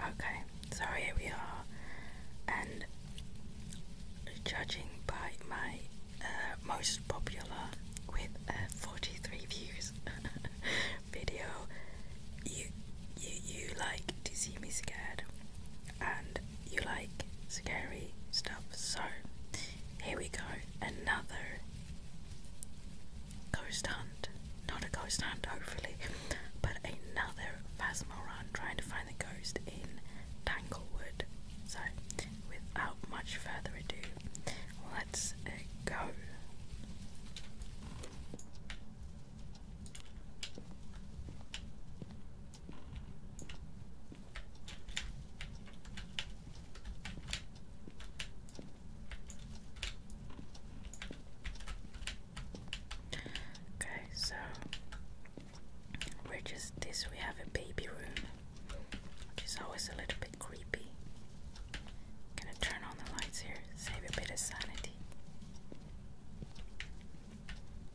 Okay, so here we are, and judging by my uh, most popular with uh, 43 views video, you, you you like to see me scared, and you like scary stuff. So here we go, another ghost hunt. Not a ghost hunt, hopefully, but another Phasma run trying to find the ghost in Tanglewood. So, without much further ado, let's uh, go. Okay, so we're just this we have a baby room, which is always a little bit creepy. Gonna turn on the lights here, save a bit of sanity.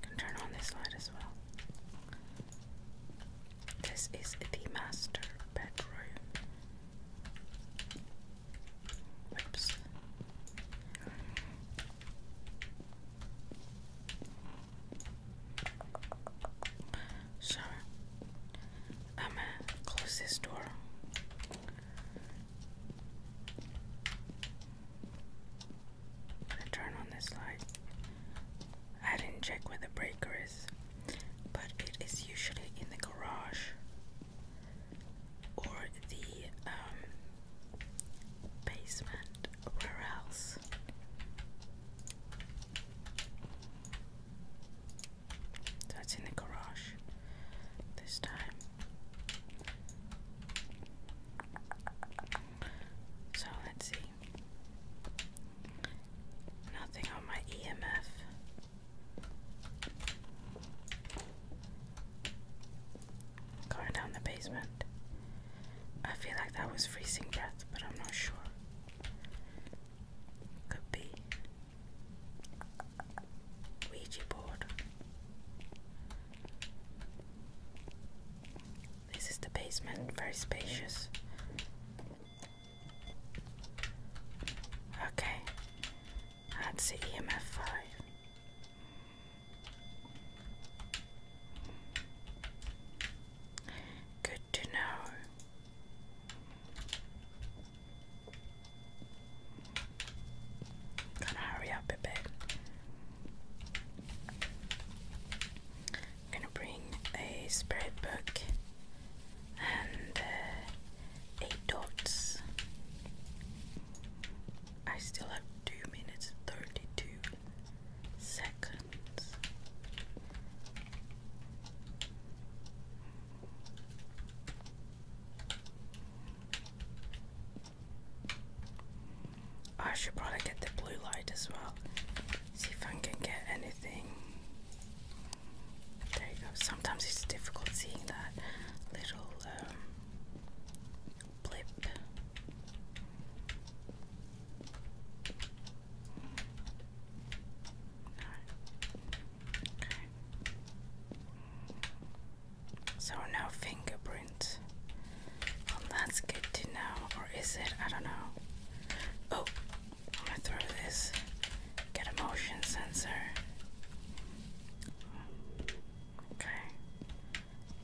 Can turn on this light as well. This is the master bedroom. Whoops. So I'm gonna close this door. I'm gonna turn on this light. I didn't check where the breaker is, but it is usually in the garage or the um, basement. Where else? That's in the garage this time. So let's see. Nothing on my EMF. Going down the basement. I feel like that was freezing breath, but I'm not sure. Could be. Ouija board. This is the basement, very spacious. Okay, that's the EMF 5. Good to know. Gotta hurry up a bit. gonna bring a spirit book and uh, eight dots. I still have two minutes thirty two seconds. I should probably get the blue light as well. See if I can get anything. There you go. Sometimes it's difficult seeing that little um, blip. Okay. So no fingerprint. Well, that's good to know, or is it? I don't know. Oh, I'm gonna throw this. Get a motion sensor. Okay.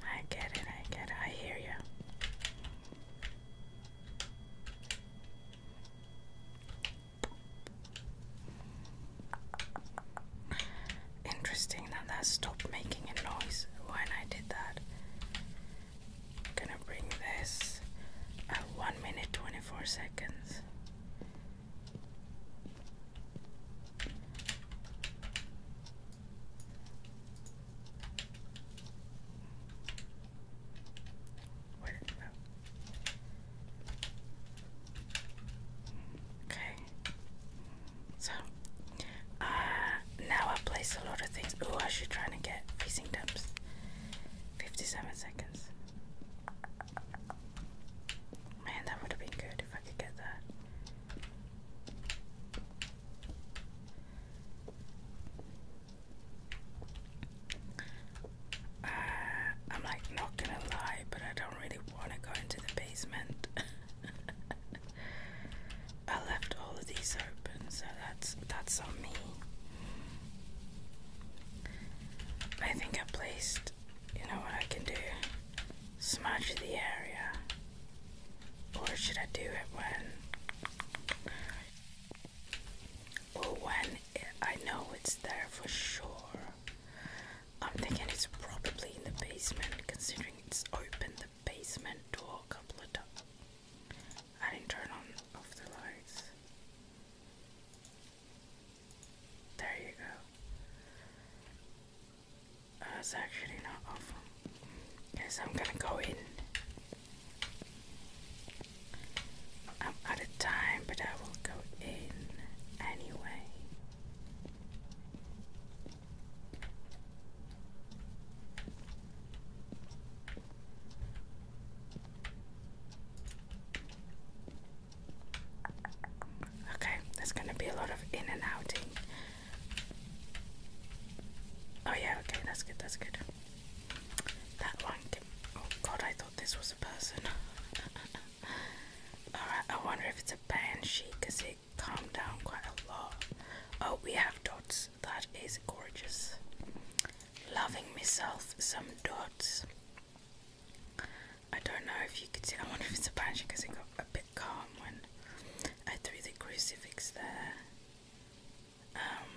I get it. I get it. I hear you. Interesting that that stopped making a noise when I did that. gonna bring this at 1 minute 24 seconds. Okay. So, uh, now I place a lot of things. Ooh, I should try and get facing dumps. 57 seconds. Man, that would have been good. I could uh, I'm like not gonna lie, but I don't really want to go into the basement. I left all of these open, so that's that's on me. I think I placed. You know what I can do? smudge the area? Or should I do it when or when I know it's there for sure? I'm thinking it's probably in the basement considering it's open the basement door a couple of times. I didn't turn on off the lights. There you go. That's uh, actually not awful. Guess I'm gonna go in. I'm out of time, but I will go in anyway. Okay, there's gonna be a lot of in and outing. Oh yeah, okay, that's good, that's good. That one can, oh god, I thought this was a person. Alright, I wonder if it's a banshee because it calmed down quite a lot. Oh, we have dots. That is gorgeous. Loving myself some dots. I don't know if you can see. I wonder if it's a patch because it got a bit calm when I threw the crucifix there. Um,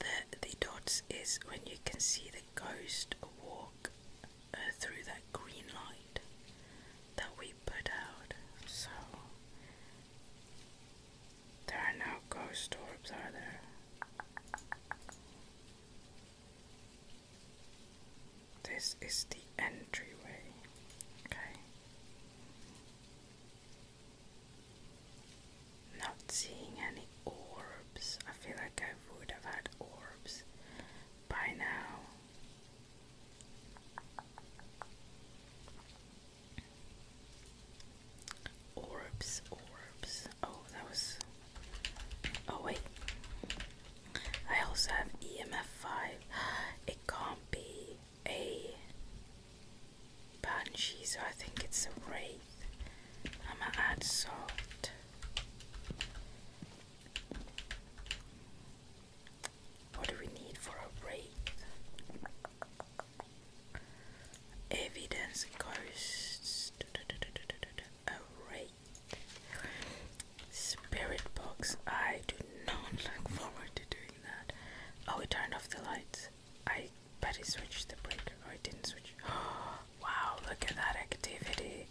the the dots is when you can see the ghost walk uh, through that green light that we put out. So there are no ghost orbs, are there? This is the entryway. Okay. Not seeing any orbs. I feel like I would have had orbs by now. Orbs, orbs. Oh, that was Oh wait. I also have EMF five. It can't be a banshee, so I think it's a wraith. I'ma add salt. What do we need for a wraith? Evidence ghosts. A wraith. Spirit box. I do not look forward to doing that. Oh, we turned off the lights. I better switch the breaker. Or oh, it didn't switch. wow, look at that activity.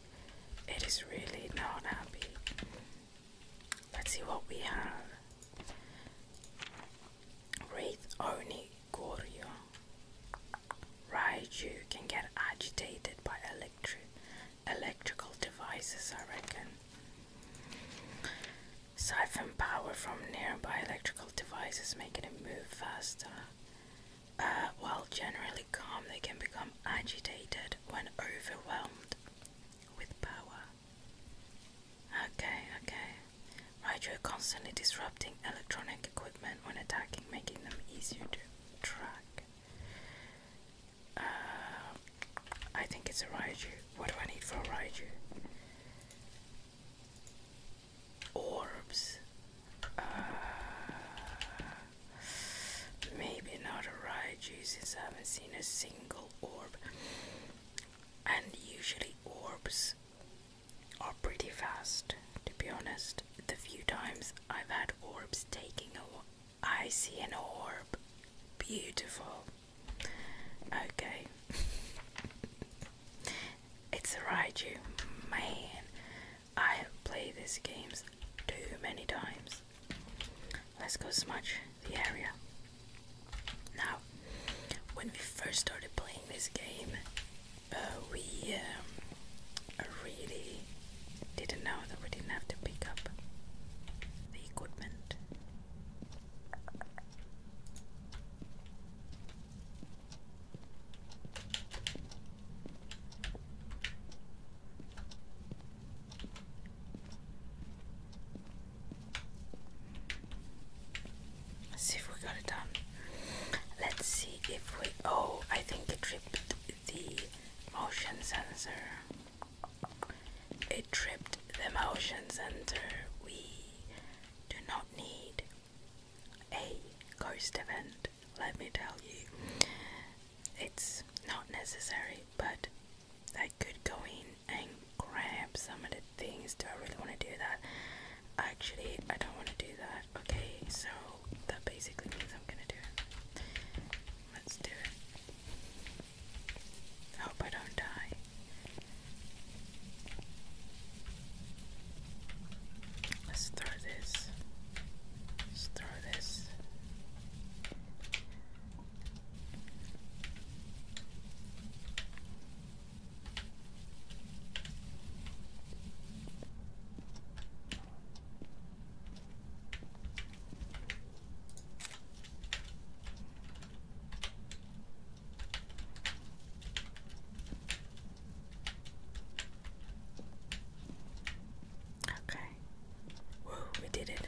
It is really not happy. Let's see what we have. Wraith Orni Raichu can get agitated by electric electrical devices, I reckon. Siphon power from nearby electrical devices, making it move faster. Uh, while generally calm, they can become agitated when overwhelmed with power. Okay, okay. Raichu are constantly disrupting electronic equipment when attacking, making them easier to track. Uh, I think it's a Raichu. What do I need for a Raichu? Orbs. Uh, maybe not a Raichu since I haven't seen a single orb. And usually orbs are pretty fast, to be honest the few times I've had orbs taking a I see an orb. Beautiful. Okay. it's a Raichu. Man, I have played these games too many times. Let's go smudge the area. Now, when we first started playing this game, uh, we um, really didn't know that we didn't have to pick up the equipment. Let's see if we got it done. Let's see if we. Oh, I think the trip the motion sensor. It tripped the motion sensor. We do not need a ghost event, let me tell you. It's not necessary, but I could go in and grab some of the things. Do I really want to do that? Actually, I don't want to do that. Okay, so that basically means I'm gonna do it. Let's do it. Hope I don't die. Let's throw this. Let's throw this. Okay. Whoa, we did it.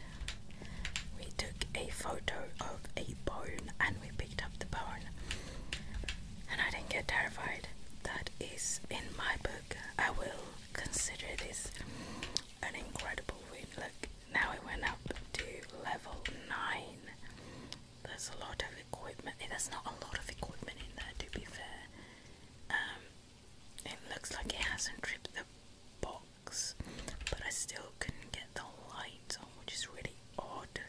We took a photo of a bone and we picked up the bone. And I didn't get terrified. That is in my book. I will consider this an incredible win. Look, now we went up to level 9. There's a lot of equipment. Eh, there's not a lot of equipment in there, to be fair. Um, it looks like it hasn't tripped the box, but I still couldn't get the lights on, which is really odd.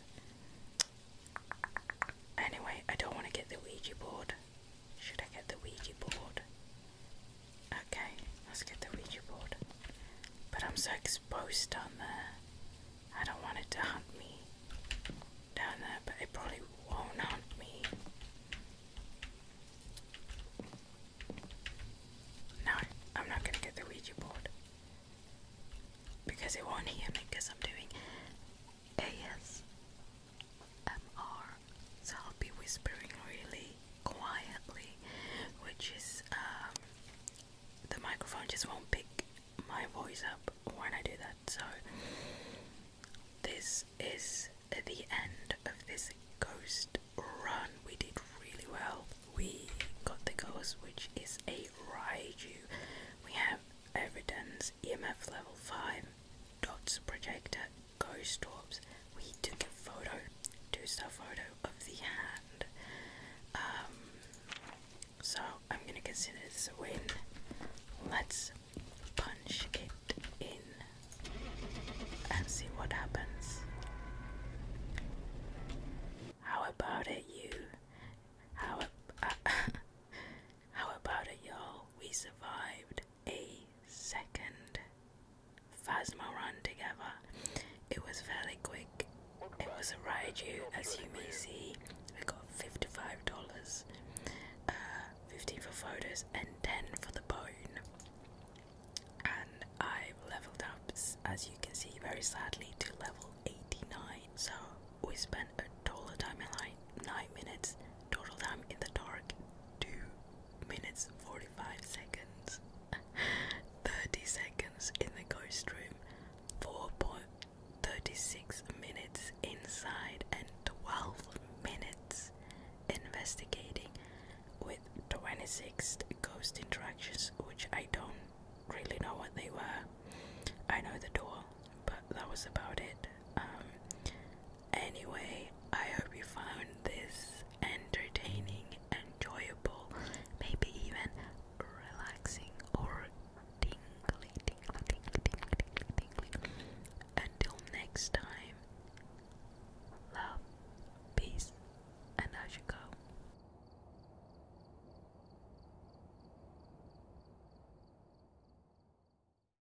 Anyway, I don't want to get the Ouija board. Should I get the Ouija board? Okay, let's get the Ouija board. But I'm so exposed down there. I don't want it to hunt me down there, but it probably won't hunt me. No, I'm not gonna get the Ouija board. Because it won't hear me because I'm doing AS MR. So I'll be whispering really quietly, which is um, the microphone just won't pick my voice up when I do that. So this is the end of this ghost run. We did really well. We got the ghost, which is a Ryu. We have evidence, EMF level 5, DOTS projector, ghost orbs. We took a photo, do star photo of the hand. Um, so I'm gonna consider this a win. Let's punch it in and see what happens. How about it, you? How? Uh, how about it, y'all? We survived a second Phasma run together. It was fairly quick. It was a ride. You, as you may see. we got $55, uh, 15 for photos, and 10 for the bone. And I've leveled up, as you can see, very sadly, to level 89. So we spent a total time in like 9 minutes, total time in the dark, 2 minutes 45 seconds, 30 seconds in the ghost room, 4.36 minutes inside, and 12 minutes investigating with 26 ghost interactions, which I don't really know what they were. I know the door, but that was about it. Um, Anyway, I hope you found this entertaining, enjoyable, maybe even relaxing or tingly, tingly, tingly, tingly, tingly, tingly. Until next time, love, peace, and I should go.